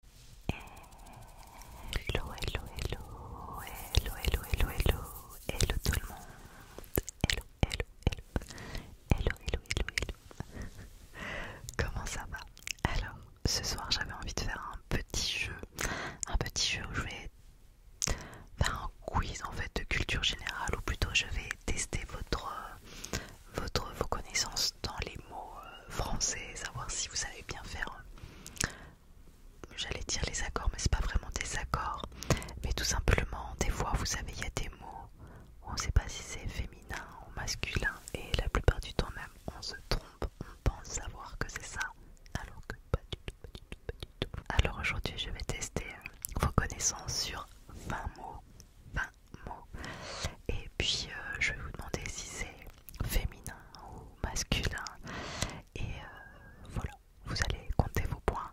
Hello, hello, hello, hello, hello, hello, hello, hello tout le monde. Hello, hello, hello, hello, hello, hello, hello. Comment ça va Alors, ce soir, j'avais envie de faire un petit jeu, un petit jeu où je vais faire un quiz en fait de culture générale, ou plutôt je vais tester votre, votre vos connaissances dans les mots euh, français, savoir si vous savez bien faire, euh, j'allais dire les accords, mais c'est pas vraiment des accords, mais tout simplement, des fois, vous savez, il y a des mots, on ne sait pas si c'est féminin ou masculin, et la plupart du temps même, on se trompe, on pense savoir que c'est ça, alors que pas du tout, pas du tout, Alors aujourd'hui, je vais tester euh, vos connaissances sur 20 mots, 20 mots, et puis je vais vous demander si c'est féminin ou masculin. Et euh, voilà, vous allez compter vos points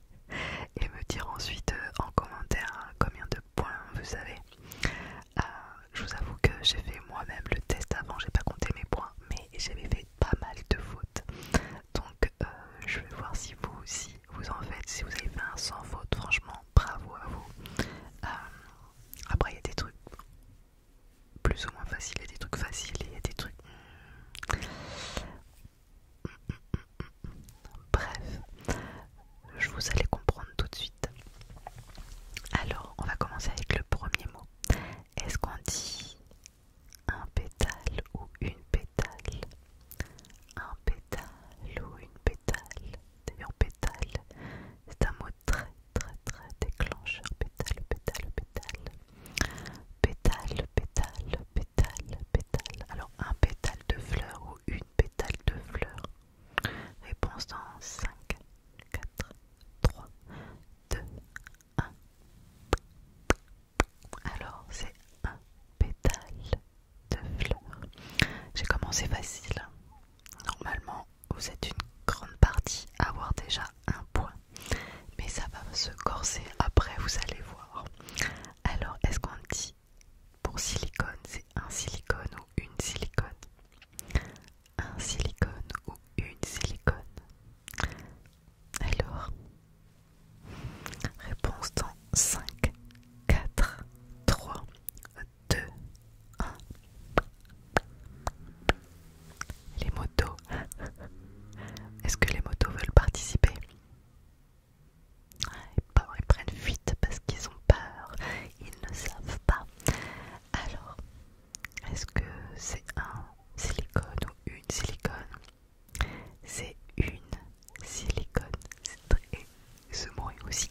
et me dire ensuite euh, en commentaire hein, combien de points vous avez. Euh, je vous avoue que j'ai fait moi-même le test avant, j'ai pas compté mes points, mais j'avais fait pas mal de fautes. Donc je vais voir si vous aussi vous en faites, si vous avez fait un sans faute, franchement bravo à vous. Après, il y a des trucs plus ou moins faciles, il y a des trucs faciles, il y a des trucs. Hmm, hmm, hmm, Bref, je vous allez comprendre tout de suite. Alors, on va commencer avec le premier mot. Est-ce qu'on dit un pétale ou une pétale Un pétale ou une pétale D'ailleurs, pétale, c'est un mot très très très déclencheur pétale pétale pétale pétale pétale pétale pétale alors un pétale de fleur ou une pétale de fleur réponse dans 5 4 3 2 1 alors c'est un pétale de fleur j'ai commencé facile hein. Normalement, vous êtes une grande partie à avoir déjà un point. Mais ça va se corser après, vous allez voir. Alors, est-ce qu'on dit pour silicone, c'est un silicone ou une silicone Un silicone ou une silicone Alors, réponse dans 5, 4, 3, 2, 1. Les motos. Est-ce que les motos veulent participer ils prennent fuite parce qu'ils ont peur, ils ne savent pas. Alors, est-ce que c'est un silicone ou une silicone C'est une silicone. C'est très... Ce aussi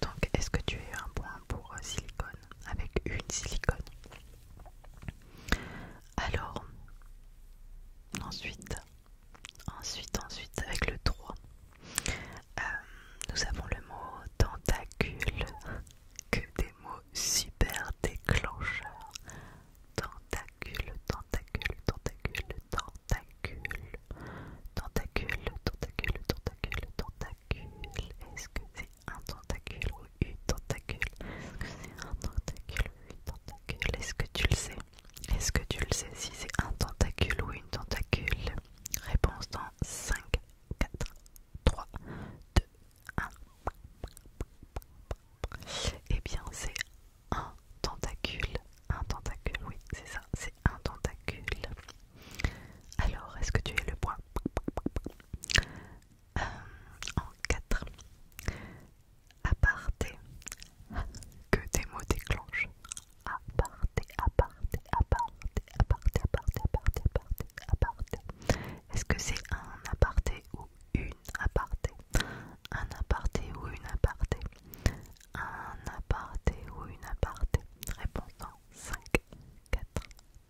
donc, est-ce que tu as un point pour euh, silicone Avec une silicone. Alors, ensuite, ensuite, ensuite, avec le 3, euh, nous avons le mot tentacule. Que des mots super déclencheurs tentacule, tentacule, tentacule, tentacule, tentacule, tentacule, tentacule, tentacule. Est-ce que c'est un tentacule ou une tentacule Est-ce que c'est un tentacule ou une tentacule Est-ce que tu le sais Est-ce que tu le sais si c'est un tentacule ou une tentacule Réponse dans 5, 4, 3, 2, 1. et bien, c'est un tentacule. Un tentacule, oui, c'est ça, c'est un tentacule. Alors, est-ce que tu es le point euh, En 4. Aparté. Que tes mots déclenchent. Aparté, aparté, aparté, aparté, aparté, aparté, aparté, aparté. Est-ce que c'est un aparté ou une aparté Un aparté ou une aparté un aparté ou une aparté Réponse en 5, 4,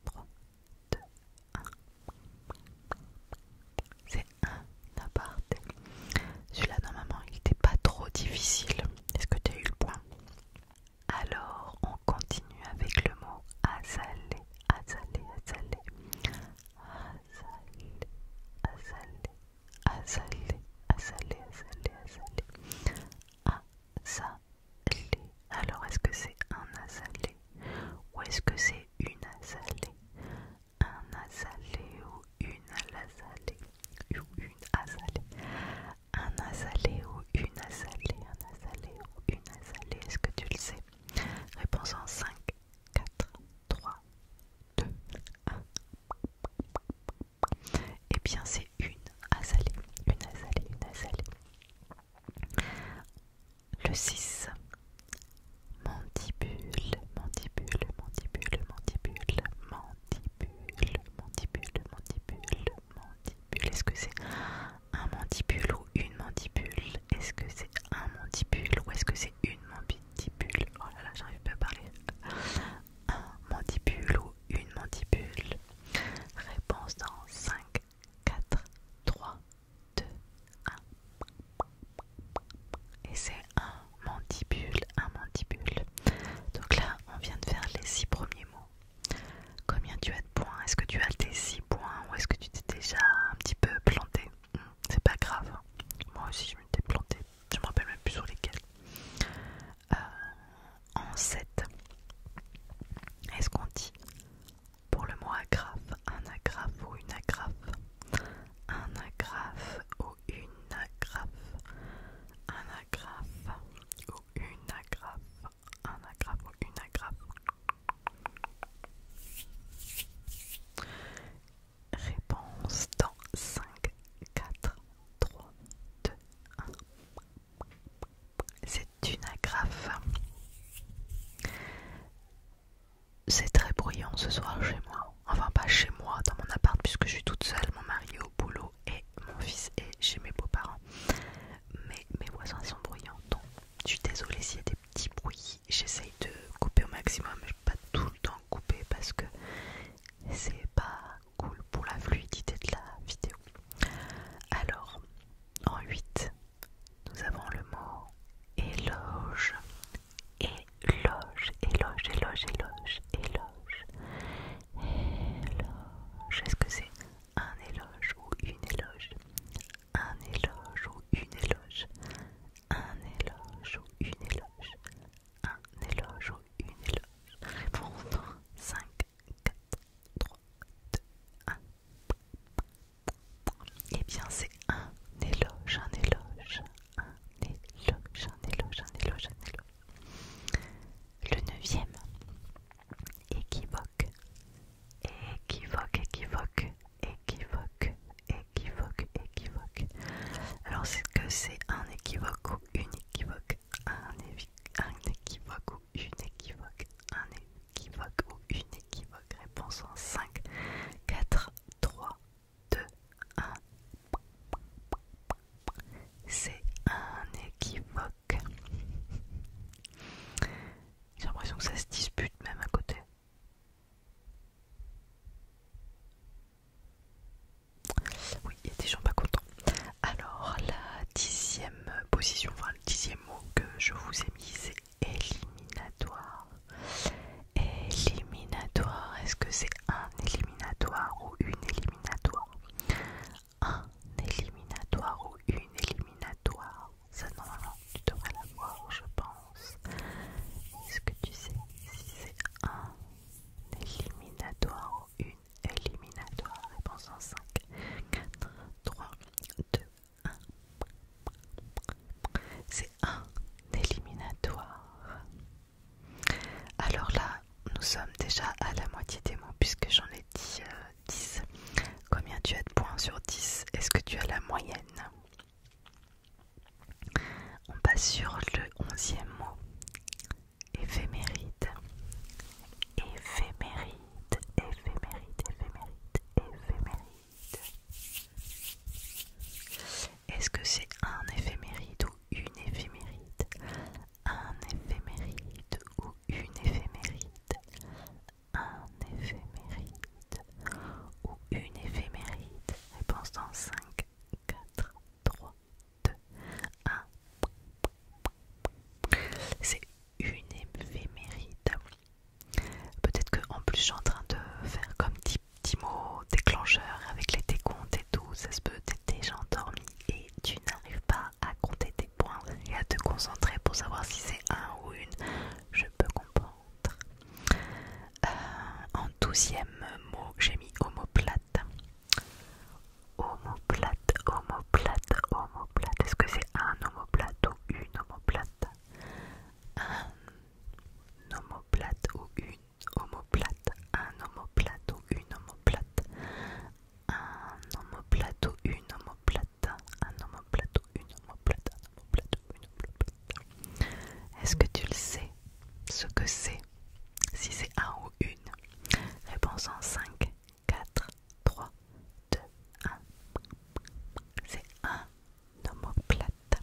3, 2, 1. C'est un aparté. Celui-là, normalement, il n'était pas trop difficile. Est-ce que tu as eu le point Alors, on continue avec le mot azalé, azalé, azalé. Asalé Alors, est-ce que c'est un asalé ou est-ce que c'est une asalée? Un asalé ou une azalée Ou une asalé Un asalé ou une asalé Un asalé ou une Est-ce que tu le sais Réponse en 5, 4, 3, 2, 1. Et eh bien c'est une azalée, une azalée, une azalée. Le 6. Mandibule, mandibule, mandibule, mandibule, mandibule, mandibule, mandibule, mandibule. Est-ce que c'est un mandibule ou une mandibule Est-ce que c'est un mandibule ou est-ce que c'est une mandibule mandibule. Oh là là, j'arrive pas à parler. Un mandibule ou une mandibule. Réponse dans 5, 4, 3, 2, 1. Et c'est un mandibule, un mandibule. Donc là, on vient de faire les 6 premiers mots. Combien tu as de points Est-ce que tu as tes 6 points ou est-ce que tu t'es déjà un petit peu planté hmm, C'est pas grave. Hein. Moi aussi, je m'étais planté je me rappelle même plus sur lesquels. Euh, en 7, est-ce qu'on dit pour le mot agrafe, un agrafe ou une agrafe Un agrafe ou une agrafe Un agrafe ou une agrafe Un agrafe ou une agrafe Réponse dans 5, 4, 3, 2, 1. C'est une agrafe. C'est très bruyant ce soir chez moi. Enfin pas chez moi, dans mon appart puisque je suis toute seule, mon mari est au boulot et mon fils est chez mes beaux-parents. Mais mes voisins sont bruyants, donc je suis désolée s'il y a des petits bruits. J'essaye de couper au maximum, mais pas tout le temps couper parce que c'est pas cool pour la fluidité de la vidéo. Alors, en 8, nous avons le mot éloge. Éloge, éloge, éloge, éloge, éloge. Éloge. Est-ce que c'est un éloge ou une éloge Un éloge ou une éloge Un éloge ou une éloge un éloge ou une éloge. Réponse 5, 4, 3, 2, 1. Et bien, c'est un éloge, un éloge, un éloge, un éloge, un éloge, un éloge. Le neuvième, équivoque, équivoque, équivoque, équivoque, équivoque, équivoque, Alors c'est que c'est un équivoque ou une équivoque, un, un équivoque ou une équivoque, un équivoque ou une équivoque. Réponse en 5, 4, 3, 2, 1. C'est un équivoque. J'ai l'impression que ça se dispute même à côté. Oui, il y a des gens pas contents. Alors, la dixième position, enfin le dixième mot que je vous ai mis, c'est éliminatoire. Éliminatoire, est-ce que c'est un éliminatoire ou une éliminatoire Un éliminatoire ou une éliminatoire Ça, normalement, tu devrais l'avoir, je pense. Est-ce que tu sais si c'est un éliminatoire ou une éliminatoire Réponse en 5, 4, 3, 2, 1. C'est un éliminatoire. Alors là, nous sommes déjà à la moitié des mots puisque j'en ai dit 10. Euh, Combien tu as de points sur 10 Est-ce que tu as la moyenne on passe sur le onzième mot. Éphéméride. Éphéméride. Éphéméride. Éphéméride. Éphéméride. Est-ce que c'est un éphéméride ou une éphéméride Un éphéméride ou une éphéméride Un éphéméride ou une éphéméride Réponse dans 5, 4, 3, 2, 1. C'est une éphéméride. Peut-être qu'en plus, je suis en train de faire comme petit, petit mot déclencheur avec les décomptes et tout. Ça se peut, t'es déjà endormi et tu n'arrives pas à compter tes points et à te concentrer pour savoir si c'est un ou une. Je peux comprendre. Euh, en douzième mot, j'ai mis omoplate. Homoplate, homoplate, homoplate. Est-ce que c'est un homoplate ou une homoplate? Un homoplate ou une omoplate Un homoplate ou une homoplate. Un homoplate ou une homoplate. Un omoplate ou une omoplate Un omoplate ou une omoplate est-ce que tu le sais Ce que c'est Si c'est un ou une Réponse en 5, 4, 3, 2, 1. C'est un homoplate.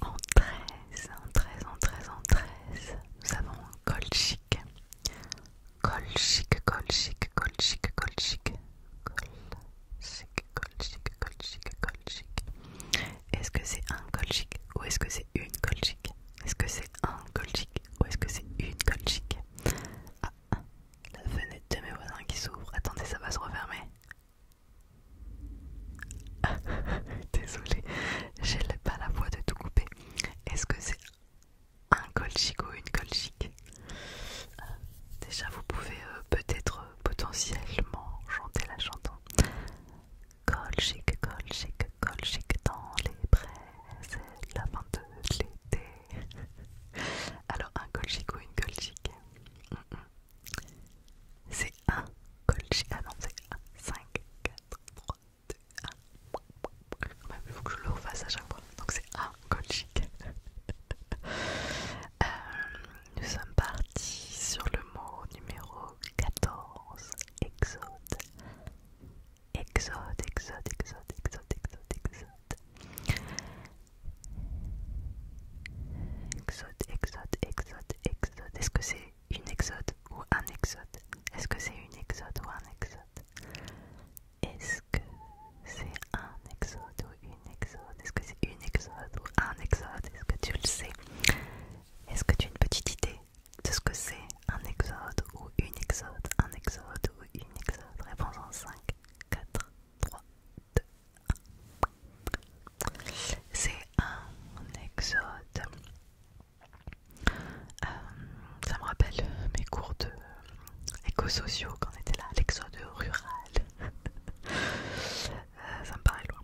En 13, en 13, en 13, en 13, nous avons col chic col chic col chic est-ce que c'est un colchic ou est-ce que c'est une colchic, Est-ce que c'est un colchic ou est-ce que c'est une colchic ah, la fenêtre de mes voisins qui s'ouvre. Attendez, ça va se refermer. Désolée, j'ai pas la voix de tout couper. Est-ce que c'est un colchic ou une colchic, euh, Déjà, vous pouvez euh, peut-être euh, potentiellement chanter la chanson Colchic, colchic, colchic dans les prés, la fin de l'été. Alors, un colchic ou une colchic C'est un colchic. Ah non, c'est 5, 4, 3, 2, 1. Même, il faut que je le refasse à chaque fois. Donc, c'est un colchic. euh, nous sommes partis sur le mot numéro 14, Exode. Exode, Exode, Exode, Exode, Exode, Exode. Exode, Exode, Exode, Exode. Est-ce que c'est une exode ou un exode Est-ce que c'est une exode ou un exode Est-ce que c'est un exode une exode Est-ce que c'est une exode ou un exode Est-ce que tu le sais Est-ce que tu as une petite idée de ce que c'est un exode ou une exode Un exode ou une exode Réponse en 5, 4, 3, 2, 1. C'est un exode. Euh, ça me rappelle mes cours de éco-sociaux quand on était là, l'exode rural. Euh, ça me paraît loin.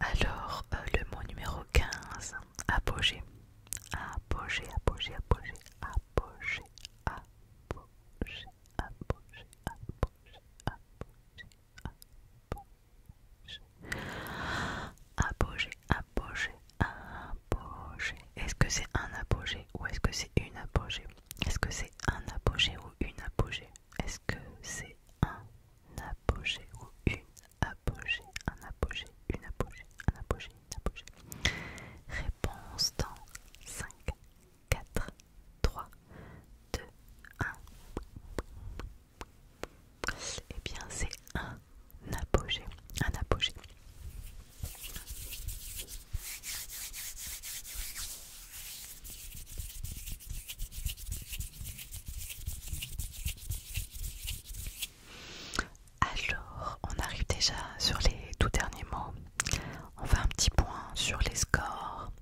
Alors, euh, le mot numéro 15, apogée. Apogée, apogée, apogée, apogée, apogée, apogée, apogée, apogée, apogée, apogée, apogée. Est-ce que c'est un apogée ou est-ce que c'est une apogée Est-ce que c'est un apogée ou une apogée est-ce que c'est un apogée ou une apogée Un apogée, une apogée, un apogée, une apogée. Réponse dans 5, 4, 3, 2, 1. Eh bien, c'est un apogée, un apogée. Alors, on arrive déjà sur les tout derniers mots. On fait un petit point sur les scores.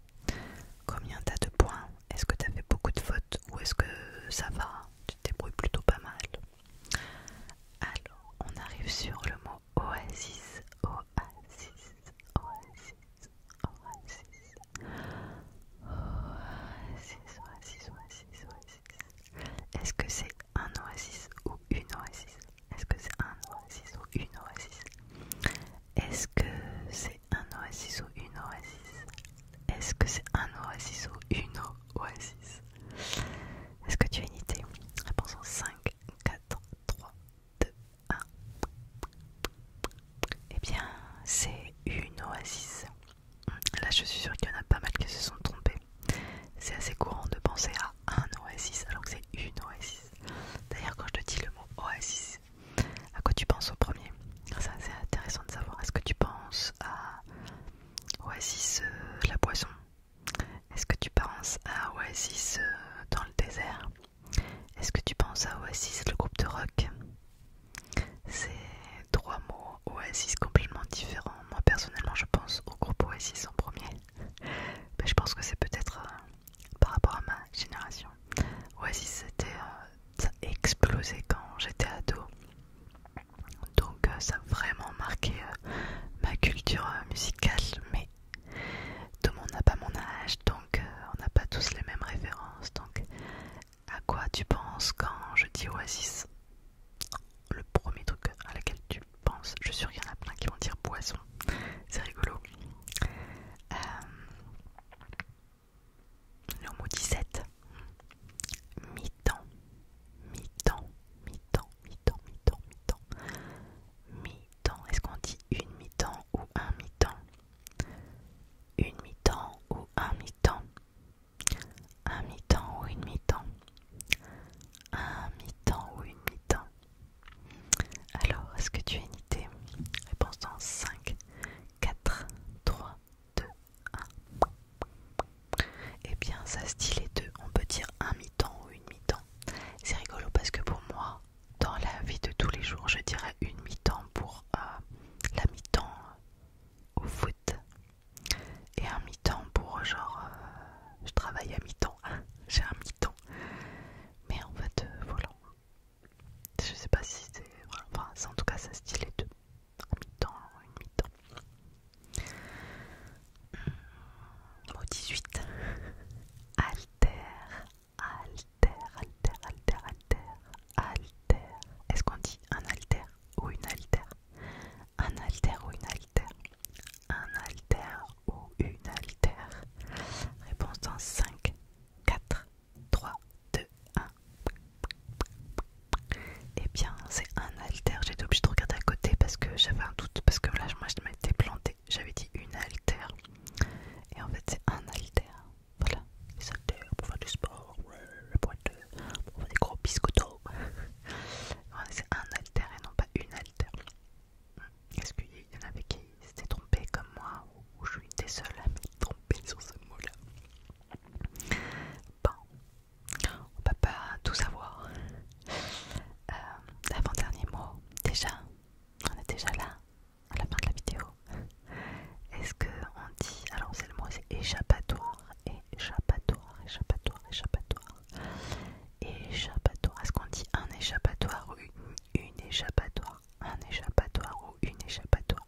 Combien t'as de points Est-ce que t'as fait beaucoup de fautes ou est-ce que ça va Tu te débrouilles plutôt pas mal. Alors, on arrive sur le mot oasis. Oasis. Oasis, Oasis, Oasis, Oasis, Oasis, Oasis. Est-ce que c'est un oasis ou une oasis Est-ce que c'est un oasis ou une oasis Est-ce que c'est un oasis ou une oasis Est-ce que c'est un oasis ou une oasis Est-ce que tu as une idée Réponse en 5, 4, 3, 2, 1. Eh bien, c'est une oasis. Là, je suis sûre qu'il y en a pas mal qui se sont trompés. C'est assez courant de penser à un oasis alors que c'est une oasis. D'ailleurs, quand je te dis le mot oasis, à quoi tu penses au premier c'est intéressant de savoir. Est-ce que tu penses à oasis euh, la poisson Est-ce que tu penses à oasis euh, dans le désert est-ce que tu penses à Oasis, le groupe de rock C'est trois mots, Oasis complètement différents. Moi personnellement, je pense au groupe Oasis en premier. Mais je pense que c'est peut-être euh, par rapport à ma génération. Oasis, c'était, euh, ça a explosé quand j'étais ado. Donc euh, ça a vraiment marqué ma culture musicale, tout le monde n'a pas mon âge, donc euh, on n'a pas tous les mêmes références. Donc, à quoi tu penses quand je dis Oasis Le premier truc à laquelle tu penses, je suis sûr qu'il y en a plein qui vont dire boisson, c'est rigolo. Euh, le mot 17, mi-temps, mi-temps, mi-temps, mi-temps, mi-temps, mi-temps, mi-temps, est-ce qu'on dit une mi-temps ou un mi-temps Une mi-temps ou un mi-temps Un mi-temps ou une mi-temps Un mi-temps ou une mi-temps Alors, est-ce que tu as une idée Réponse dans 5, 4, 3, 2, 1. Eh bien, ça se dit les deux. On peut dire un mi-temps ou une mi-temps. C'est rigolo parce que pour moi, dans la vie de tous les jours, je dirais une mi-temps pour euh, la mi-temps euh, au foot et un mi-temps pour genre euh, je travaille à mi-temps, j'ai un mi-temps, mais en fait voilà, je sais pas si c'est, enfin c'est en tout cas ça style les deux, un mi-temps, une mi-temps. Mmh. Au 18, alter alter, alter, alter, alter, alter. Est-ce qu'on dit un alter ou une alter Un alter ou une alter Un alter ou une alter Réponse dans 5, 4, 3, 2, 1. Eh bien, c'est un alter. J'étais obligée de regarder à côté parce que j'avais un doute. Parce que là, moi, je m'étais plantée. J'avais dit une alter. Et en fait, c'est un alter, Voilà, les haltères pour faire du sport, euh, pour, faire des gros biscottos. c'est un alter et non pas une alter. Hmm. Est-ce qu'il y en avait qui s'étaient trompés comme moi ou je suis des seuls à me tromper sur ce mot-là Bon, on peut pas tout savoir. Euh, avant dernier mot, déjà, on est déjà là, à la fin de la vidéo. Est-ce que on dit, alors c'est le mot, c'est échappatoire, échappatoire, échappatoire, échappatoire, échappatoire. Est-ce qu'on dit un échappatoire ou une, échappatoire, un échappatoire ou une échappatoire,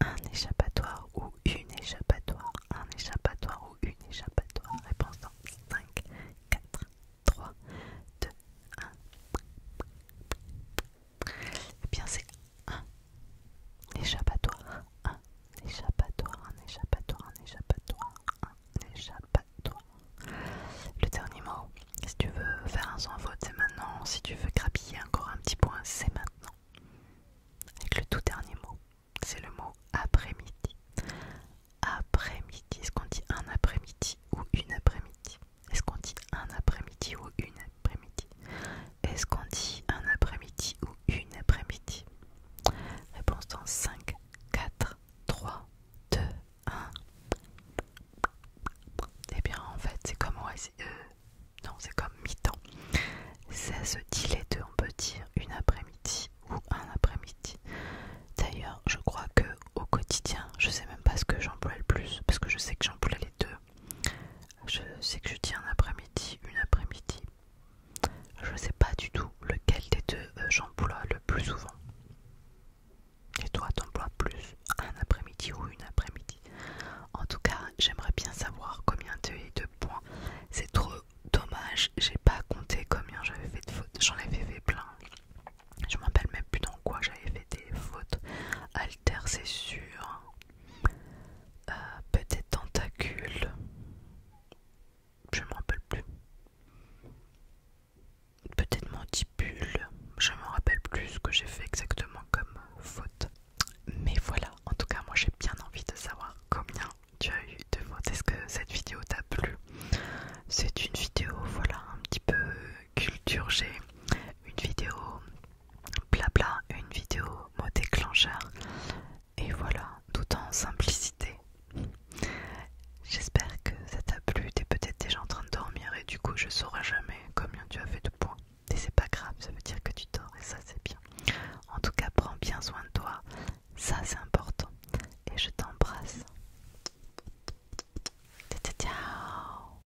un échappatoire ou une échappatoire, un échappatoire ou une échappatoire. Réponse 5, 4, 3, 2, 1. Et bien, c'est un échappatoire, un échappatoire, un échappatoire, un échappatoire, un échappatoire. Le dernier mot, si tu veux faire un sans vote c'est maintenant. Si tu veux grappiller encore un petit point, c'est maintenant. Avec le tout dernier mot, c'est le mot après-midi après-midi. Est-ce qu'on dit un après-midi ou une après-midi Est-ce qu'on dit un après-midi ou une après-midi Est-ce qu'on dit un après-midi ou une après-midi Réponse dans 5, 4, 3, 2, 1. Eh bien, en fait, c'est comme euh, non, c'est comme mi-temps. Ça se dit les deux, on peut dire une après-midi ou un après-midi. D'ailleurs, je crois que au quotidien, je sais même pas ce que j'emploie le plus parce que je sais que j'emploie les deux. Je sais que je dis un après-midi, une après-midi. Je sais pas du tout lequel des deux euh, j'emploie le plus souvent. Et toi, t'emploies plus un après-midi ou une après-midi En tout cas, j'aimerais bien savoir combien tu de points. C'est trop dommage, j'ai pas compté combien j'avais fait de fautes. J'en avais fait plein. Je me rappelle même plus dans quoi j'avais fait des fautes. Alter, c'est sûr. Euh, peut-être tentacule. Je me rappelle plus. Peut-être mandibule. Je me rappelle plus ce que j'ai fait exactement comme faute. Mais voilà, en tout cas, moi j'ai bien envie de savoir combien tu as eu de fautes. Est-ce que cette vidéo t'a plu c'est une vidéo, voilà, un petit peu culture une vidéo blabla, une vidéo mot déclencheur, et voilà, tout en simplicité. J'espère que ça t'a plu, t'es peut-être déjà en train de dormir et du coup je ne saurai jamais combien tu as fait de points. Et c'est pas grave, ça veut dire que tu dors et ça c'est bien. En tout cas, prends bien soin de toi, ça c'est important. Et je t'embrasse. Ciao